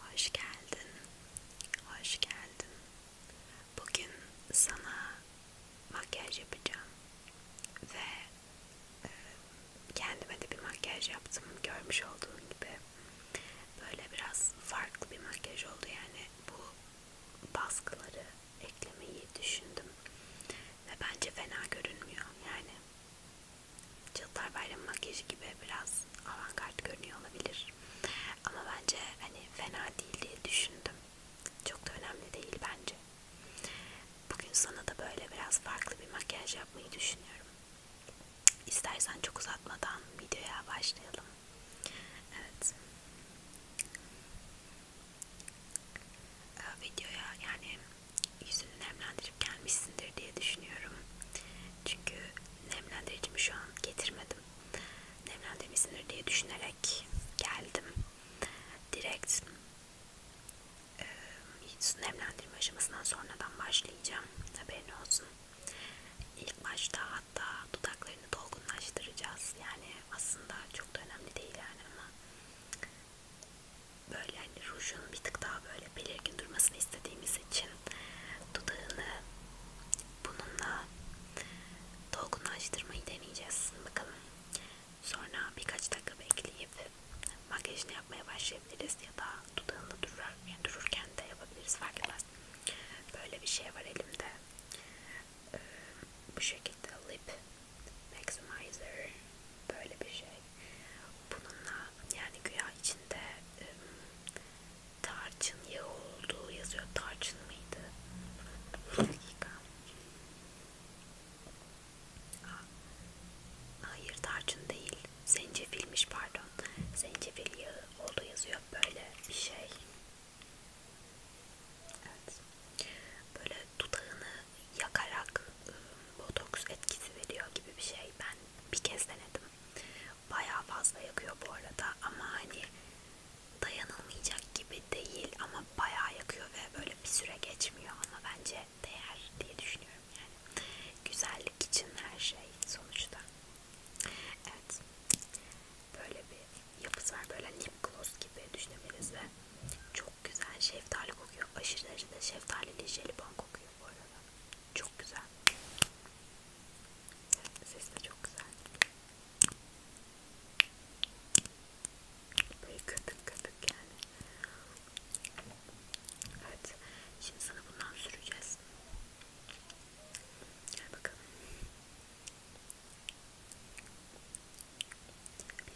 Hoş geldin, hoş geldin. Bugün sana makyaj yapacağım ve e, kendime de bir makyaj yaptım görmüş olduğun gibi. Böyle biraz farklı bir makyaj oldu yani bu baskıları eklemeyi düşündüm ve bence fena görünmüyor yani Çıllar Bayramı makyajı gibi biraz avantgard görünüyor olabilir. Ama bence hani fena değil diye düşündüm. Çok da önemli değil bence. Bugün sana da böyle biraz farklı bir makyaj yapmayı düşünüyorum. İstersen çok uzatmadan videoya başlayalım. Evet. Ee, videoya yani yüzünü nemlendirip gelmişsindir diye düşünüyorum. Çünkü nemlendiricimi şu an getirmedim. Nemlendirmesindir diye düşünerek geldim. Direkt e, nemlendirme aşamasından sonradan başlayacağım. Haberin olsun. İlk başta hatta dudaklarını dolgunlaştıracağız. Yani aslında çok da önemli değil yani ama böyle hani rujun bir tık daha böyle belirgin durmasını istediğimiz için dudağını bununla dolgunlaştırmayı deneyeceğiz bakalım. Sonra birkaç dakika bekleyip makyajını yapmaya başlayabiliriz ya da dudağında durur, yani dururken de yapabiliriz fark etmez. Böyle bir şey var elimde. Ee, bu şekilde lip maximizer böyle bir şey bununla yani güya içinde e, tarçın yağı olduğu yazıyor tarçın mıydı? Hayır tarçın değil zencefilmiş pardon zencefil yağı olduğu yazıyor böyle bir şey. Evet. Böyle dudağını yakarak botoks etkisi veriyor gibi bir şey. Ben bir kez denedim. Bayağı fazla yakıyor bu arada ama hani dayanılmayacak gibi değil ama bayağı yakıyor ve böyle bir süre geçmiyor ama bence değer diye düşünüyorum yani. Güzellik için her şey sonuçta. Evet. Böyle bir yapısı var. Böyle lip gloss gibi düşünebiliriz ve çok güzel şeftali kokuyor. Aşırı derecede şeftalili jelibon kokuyor bu arada. Çok güzel. Ses de çok güzel. Böyle köpük köpük yani. Evet. Şimdi sana bundan süreceğiz. Gel bakalım.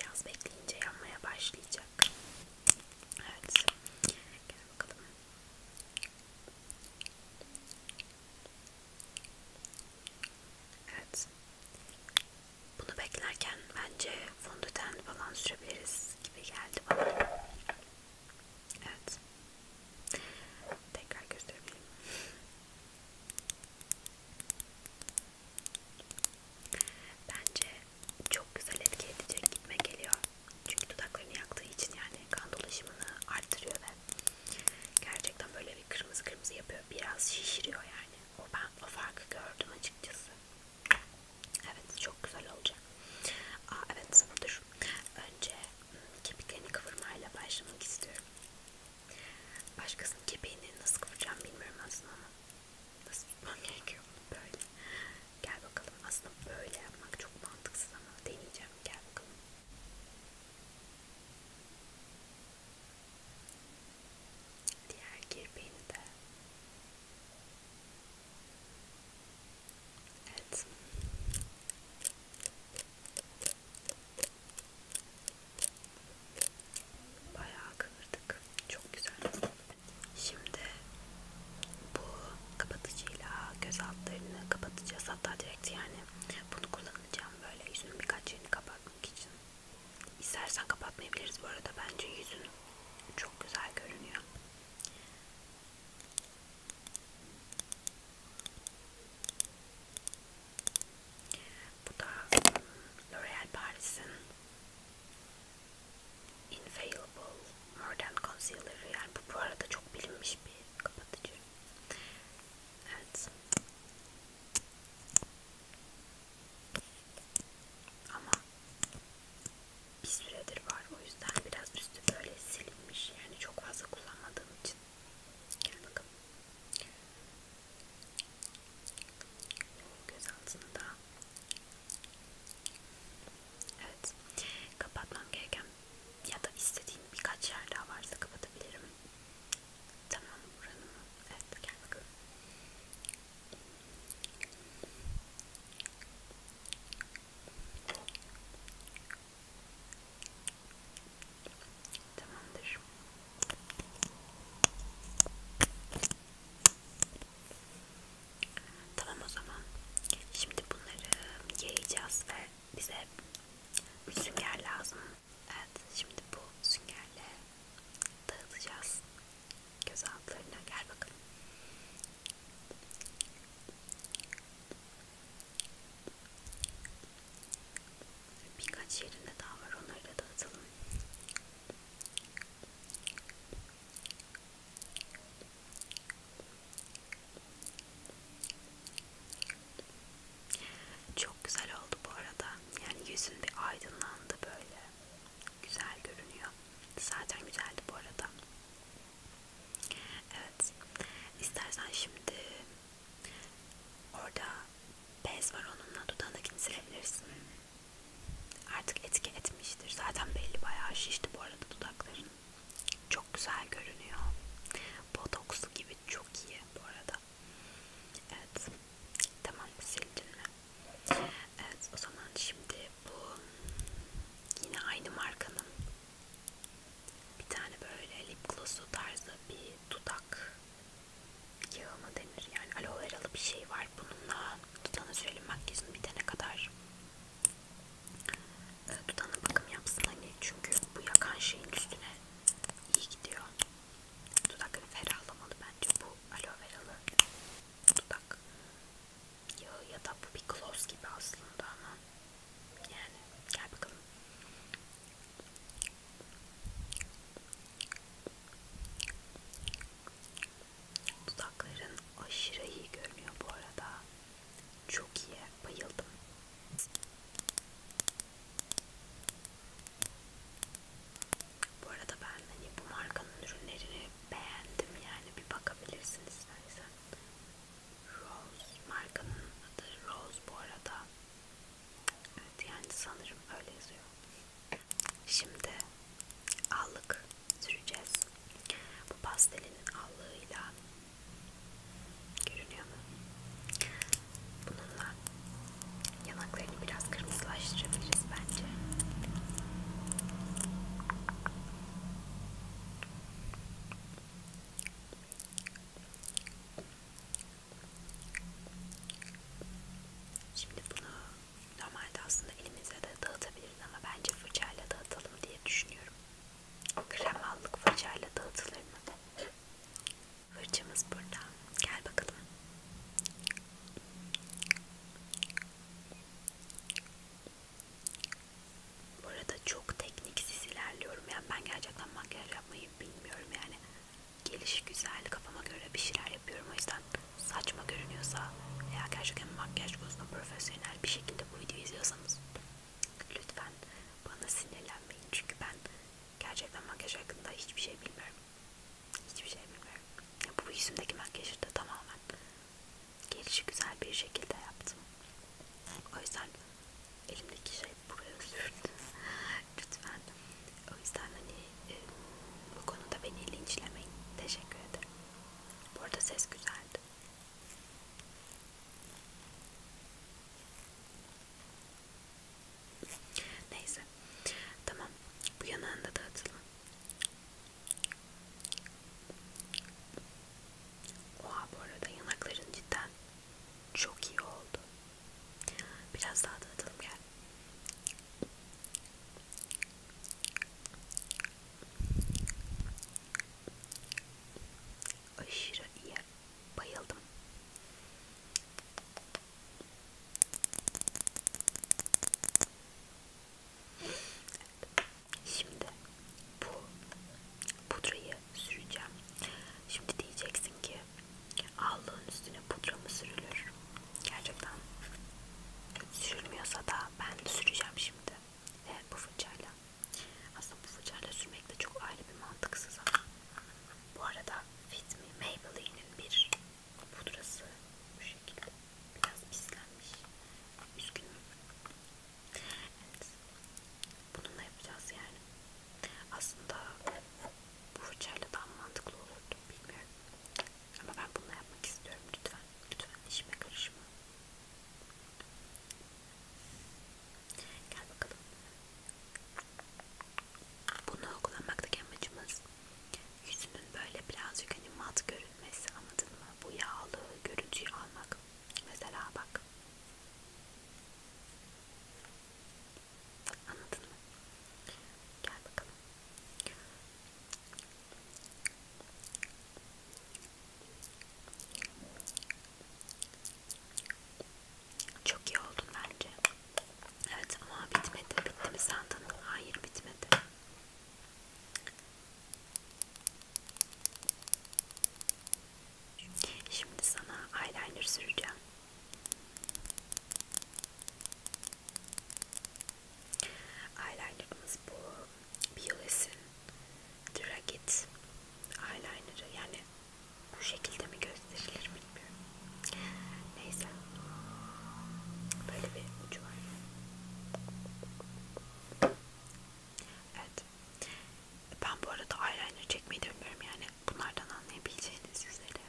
Biraz bekleyince yanmaya başlayacak. Evet. Gel bakalım. Evet. Bunu beklerken bence fondöten falan sürebiliriz gibi geldi bana. Evet. Tekrar gösterebilirim. Bence çok güzel etki edecek gitme geliyor. Çünkü dudaklarını yaktığı için yani kan dolaşımını artırıyor ve gerçekten böyle bir kırmızı kırmızı yapıyor. Biraz şişiriyor yani. O ben o farkı gördüm açıkçası. Evet çok güzel olacak. Aa evet dur. Önce hmm, kepiklerini kıvırmayla başlamak istiyorum. Başkasının kepeğini nasıl kıvıracağım bilmiyorum aslında ama nasıl tutmam gerekiyor böyle. Gel bakalım. Aslında böyle yapmak çok mantıksız ama deneyeceğim. Gel bakalım. Diğer kirpiğini de. Evet. Bayağı kıvırdık. Çok güzel. Şimdi bu kapatıcıyla göz altlarını kapatacağız. Hatta direkt yani bunu kullanacağım böyle yüzünün birkaç yerini kapatmak için. İstersen kapatmayabiliriz bu arada. Bence yüzün çok güzel görünüyor. Bu da L'Oreal Paris'in Infallible Modern Concealer yani bu bu arada çok bilinmiş bir kapatıcı. Evet. Ama bir süredir var o yüzden biraz üstü böyle silinmiş yani çok fazla kullanmadığım için. Gel bakalım. Göz altında Evet. Kapatmam gereken ya da istediğim birkaç yer daha varsa kapatabilirim. Tamam buranın mı? Evet gel bakalım. Tamamdır. Tamam o zaman. Şimdi bunları yayacağız ve bize sünger lazım. Evet şimdi bu süngerle dağıtacağız göz altlarına. Gel bakalım. Birkaç yerinde daha var onları da dağıtalım. Çok güzel oldu bu arada. Yani yüzün bir aydınlandı böyle. Güzel görünüyor. Zaten güzeldi bu arada. Evet. İstersen şimdi orada bez var onunla dudağındakini silebilirsin artık etki etmiştir. Zaten belli bayağı şişti bu arada dudakların. Çok güzel görünüyor. Botokslu gibi çok iyi bu arada. Evet. Tamam sildin mi? Evet o zaman şimdi bu yine aynı markanın bir tane böyle lip gloss'u tarzı bir dudak yağı mı denir yani aloe veralı bir şey var bununla dudağına sürelim makyajını bitene kadar dudağına ee, bakım yapsın hani çünkü bu yakan şeyin üstüne iyi gidiyor dudakları ferahlamalı bence bu aloe veralı dudak yağı ya da bu bir gloss gibi aslında ama yani gel bakalım Dudakların aşırı iyi görünüyor bu arada. Çok iyi. Bayıldım. Bu arada ben hani bu markanın ürünlerini beğendim yani bir bakabilirsiniz istersen. Rose markanın adı Rose bu arada. Evet yani sanırım öyle yazıyor. Şimdi allık süreceğiz. Bu pastelin allığıyla görünüyor mu? Bununla yanaklarını biraz kırmızılaştırabiliriz bence. Şimdi bunu normalde aslında elimize de dağıtabiliriz ama bence fırçayla dağıtalım diye düşünüyorum. Kremallık fırçayla dağıtılır mı? Fırçamız burada. Gel bakalım. Burada çok tekniksiz ilerliyorum. Yani ben gerçekten makyaj yapmayı bilmiyorum yani geliş güzel kafama göre bir şeyler yapıyorum o yüzden saçma görünüyorsa veya gerçekten makyaj konusunda profesyonel bir şekilde bu videoyu izliyorsanız lütfen bana sinirlenmeyin çünkü ben gerçekten makyaj hakkında hiçbir şey bilmiyorum hiçbir şey bilmiyorum ya bu yüzümdeki makyajı da tamamen gelişi güzel bir şekilde yaptım o yüzden elimdeki şey buraya sürttüm lütfen. O yüzden hani e, bu konuda beni linçlemeyin. Teşekkür ederim. Bu arada ses güzeldi. Neyse. Tamam. Bu yanağında da atalım. Oha bu arada yanakların cidden çok iyi oldu. Biraz daha dağıtalım gel. Aşırı iyi. Bayıldım. Evet. Şimdi bu pudrayı süreceğim. Şimdi diyeceksin ki Allığın üstüne pudra mı sürülür? Gerçekten sürülmüyorsa da ben süreceğim şimdi ve bu fırçayla. Aslında bu fırçayla sürmek de çok ayrı bir mantıksız ama. Bu arada Fit Me Maybelline'in bir pudrası bu şekilde biraz pislenmiş. Üzgünüm. Evet. Bununla yapacağız yani. Aslında bu fırçayla daha mantıklı olurdu bilmiyorum. Ama ben bunu yapmak istiyorum lütfen. Lütfen işime karışma. Gel bakalım. Bunu kullanmaktaki amacımız yüzünün böyle birazcık hani mat görünmesi anladın mı? Bu yağlı görüntüyü almak. Mesela bak. Anladın mı? Gel bakalım. Çok iyi oldun bence. Evet ama bitmedi. Bitti mi sandın? Hayır bitmedi. Şimdi sana eyeliner süreceğim. Eyelinerımız bu Biolis'in Dragit eyeliner'ı yani bu şekilde mi gösterilir bilmiyorum. Neyse. Böyle bir ucu var. Evet. Ben bu arada eyeliner çekmeyi de bilmiyorum yani bunlardan anlayabileceğiniz üzere.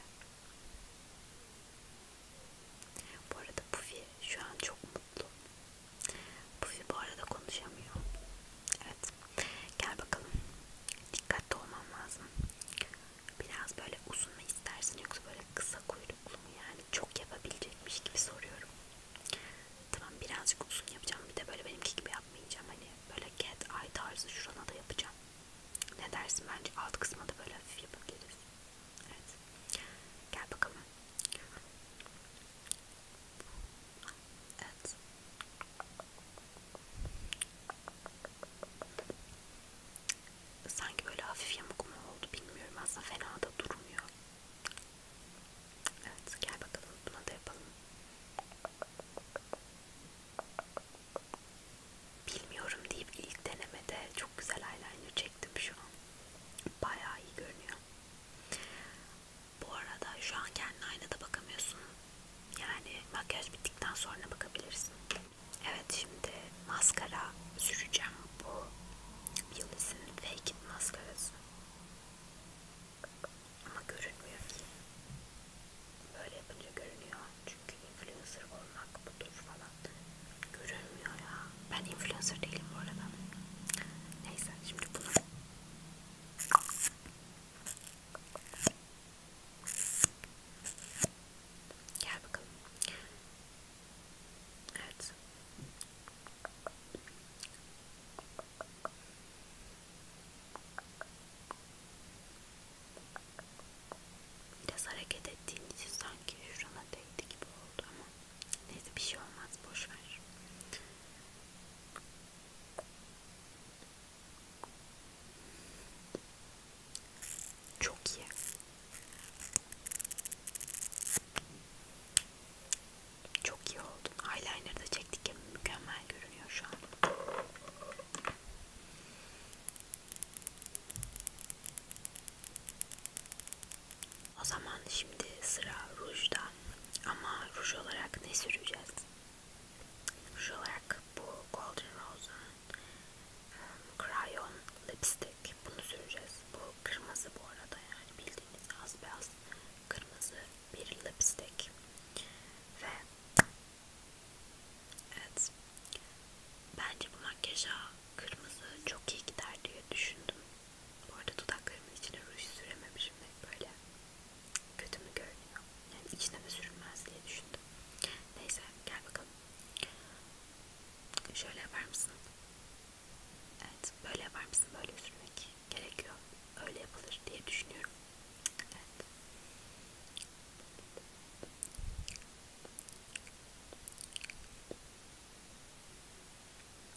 Bu arada Puffy şu an çok mutlu. Puffy bu arada konuşamıyor. Evet. Gel bakalım. Dikkatli olman lazım. Biraz böyle uzun mu istersin yoksa böyle kısa kuyruklu mu yani çok yapabilecekmiş gibi soruyorum. Tamam birazcık uzun yapacağım bir de böyle benimki gibi yapmayacağım hani Böyle cat eye tarzı şurana da yapacağım. Ne dersin bence alt kısma da böyle hafif yapabiliriz. Evet. Gel bakalım. Evet. Sanki böyle hafif yamuk mu oldu bilmiyorum. Aslında fena da durmuyor. Evet gel bakalım buna da yapalım. Bilmiyorum deyip ilk denemede çok güzel eyeliner çektim şu an. Bayağı iyi görünüyor. Bu arada şu an kendine aynada bakamıyorsun. Yani makyaj bittikten sonra bakabilirsin. Evet şimdi maskara süreceğim bu Yıldız'ın fake maskarası. Ama görünmüyor ki. Böyle yapınca görünüyor. Çünkü influencer olmak budur falan. Görünmüyor ya. Ben influencer değilim bu arada. Neyse şimdi bunu... Gel bakalım. Evet. Biraz hareket ettiğin için sanki şuna değdi gibi oldu ama neyse bir şey olmaz boş ver. Çok iyi. Çok iyi oldu. Eyeliner da çektik ya mükemmel görünüyor şu an. O zaman şimdi sıra rujda ama ruj olarak ne süreceğiz? Ruj olarak bu Golden Rose'un um, Crayon Lipstick bunu süreceğiz. Bu kırmızı bu arada yani bildiğiniz az beyaz kırmızı bir lipstick ve evet bence bu makyaja kırmızı çok iyi gider diye düşündüm. Bu arada dudaklarımın içine ruj sürememişim ve böyle kötü mü görünüyor? Yani içine de sürülmez diye düşündüm. Neyse gel bakalım. Şöyle yapar mısın? Evet böyle yapar mısın böyle sürmek? gerekiyor. Öyle yapılır diye düşünüyorum. Evet.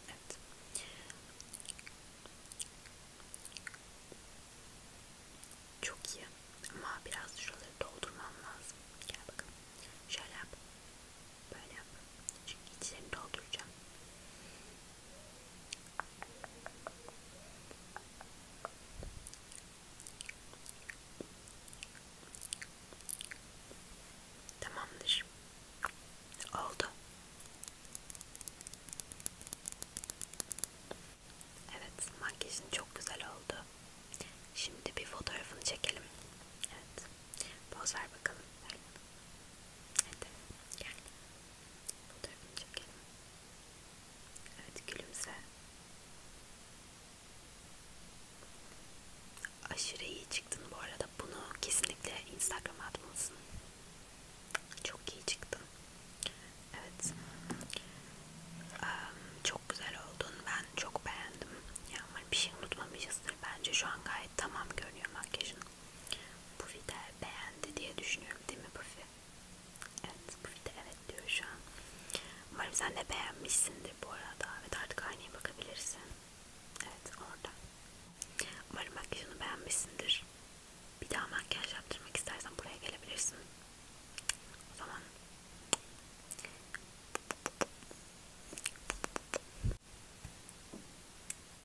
Evet. Çok iyi. Ama biraz şuraları doldurmam lazım. Gel bakalım. Şöyle yap. Böyle yap. Çünkü içlerini dolduracağım. Tamamdır. Oldu. Evet, makyajın çok güzel oldu. Şimdi bir fotoğrafını çekelim. Evet. Poz ver bakalım. Hadi. Gel. Fotoğrafını çekelim. Evet gülümse. Aşırı iyi çıktın bu arada. Bunu kesinlikle Instagram'a atmalısın. Çok iyi çıktın. Evet. Çok güzel oldun. Ben çok beğendim. Yani bir şey unutmamışızdır. Bence şu an gayet tamam görünüyor makyajın. Bu video beğendi diye düşünüyorum değil mi Buffy? Evet bu video evet diyor şu an. Umarım sen de beğenmişsindir bu arada. Evet artık aynaya bakabilirsin. Evet orada. Umarım makyajını beğenmişsindir. Bir daha makyaj yaptırmak istersen buraya gelebilirsin. O zaman